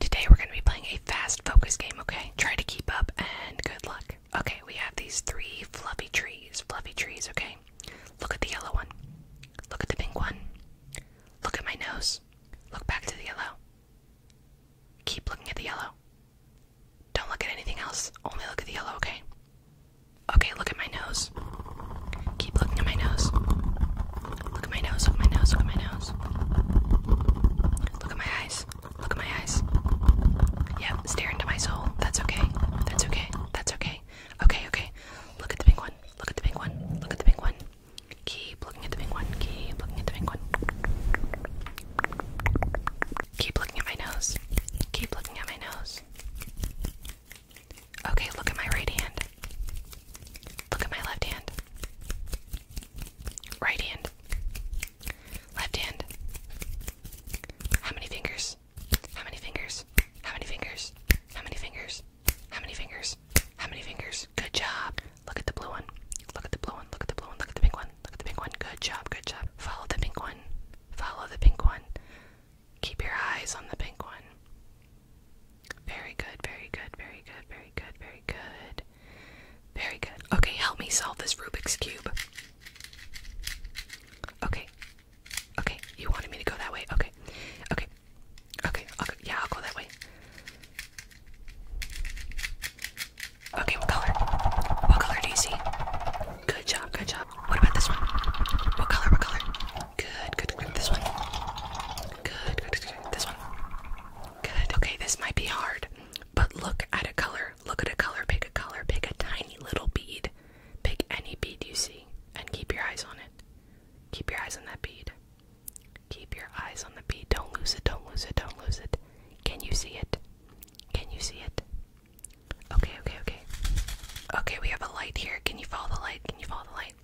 Today we're going to be playing a fast focus game, okay? Try to keep up and good luck. Okay, we have these three fluffy trees. Fluffy trees, okay? Look at the yellow one. Look at the pink one. Look at my nose. Look back to the yellow. Keep looking at the yellow. Don't look at anything else. Only look at the yellow, okay? Okay, look at my nose. Keep looking at my nose. Look at my nose, look at my nose, look at my nose. Look at my eyes. Look at my eyes. Yeah, stare into my soul. That's okay. That's okay. That's okay. Okay, okay. Look at the pink one. Look at the pink one. Look at the pink one. Keep looking at the pink one. Keep looking at the pink one. Keep looking at my nose. Keep looking at my nose. Okay, look at my right hand. Look at my left hand. Right hand. Left hand. How many fingers? How many fingers? How many fingers? How many fingers? How many fingers? How many fingers? Good job. Look at the blue one. Look at the blue one. Look at the blue one. Look at the pink one. Look at the pink one. Good job. Good job. Follow the pink one. Follow the pink one. Keep your eyes on the pink one. Very good, very good, very good, very good, very good. Very good. Okay, help me solve this Rubik's Cube. Okay. Okay, you wanted me to go that way. Okay. Okay. Okay, okay. Yeah, I'll go that way. Okay, what color? What color do you see? Good job, good job. What about this one? What color, what color? Good, good, good. This one. Good, good, good, good. This one. Good. Okay, this might be hard, but look at a color. Look at a color. Pick a color. Pick a tiny little bead. Pick any bead you see and keep your eyes on it. Keep your eyes on that bead. Keep your eyes on the bead. Don't lose it. Don't lose it. Don't lose it. Can you see it? Can you see it? Okay, okay, okay. Okay, we have a light here. Can you follow the light? Can you follow the light?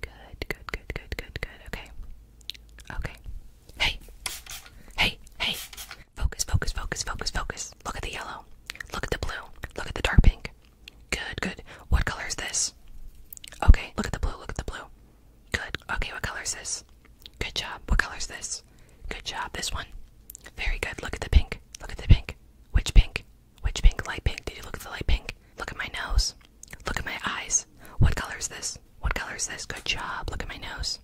Good, good, good, good, good, good. Okay. Okay. Hey. Hey, hey. Focus, focus, focus, focus, focus. Look at the yellow. Look at the blue. Look at the dark pink. Good, good. What color is this? Okay, look at the blue, look at the blue. Good. Okay, what color is this? Good job. What color is this? Good job. This one. Very good. Look at the pink. Look at the pink. Which pink? Which pink? Light pink. Did you look at the light pink? Look at my nose. Look at my eyes. What color is this? What color is this? Good job. Look at my nose.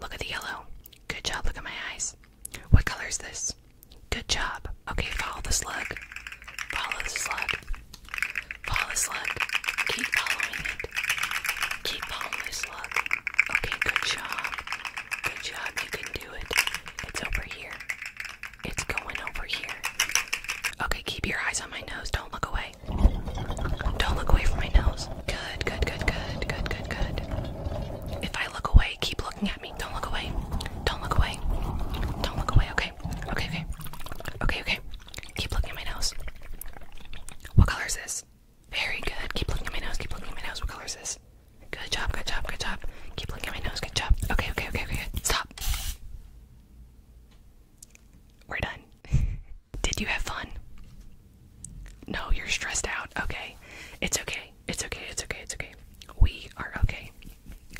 Look at the yellow. Good job. Look at my eyes. What color is this? Good job. Okay, follow the slug. Follow the slug. Follow the slug. Keep following it. Keep following the slug. Okay, good job. Good job. You can do it. It's over here. It's going over here. Okay, keep your eyes on my nose. Don't look away. Don't look away from my nose. Good, good, good, good, good, good, good. If I look away, keep looking at me. Don't look away. Don't look away. Don't look away. Okay. Okay, okay. Okay, okay. Keep looking at my nose. What color is this? Very good. Keep looking at my nose. Keep looking at my nose. What color is this? Good job, good job, good job. Keep looking at my nose. Good job. Okay, okay, okay, okay. Stop. We're done. Did you have fun? No, you're stressed out. Okay. It's okay. It's okay. It's okay. It's okay. We are okay.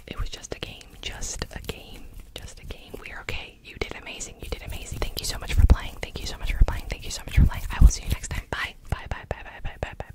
It was just a game. Just a game. Just a game. We are okay. You did amazing. You did amazing. Thank you so much for playing. Thank you so much for playing. Thank you so much for playing. I will see you next time. Bye. Bye. Bye. Bye. Bye. Bye. Bye. Bye. Bye.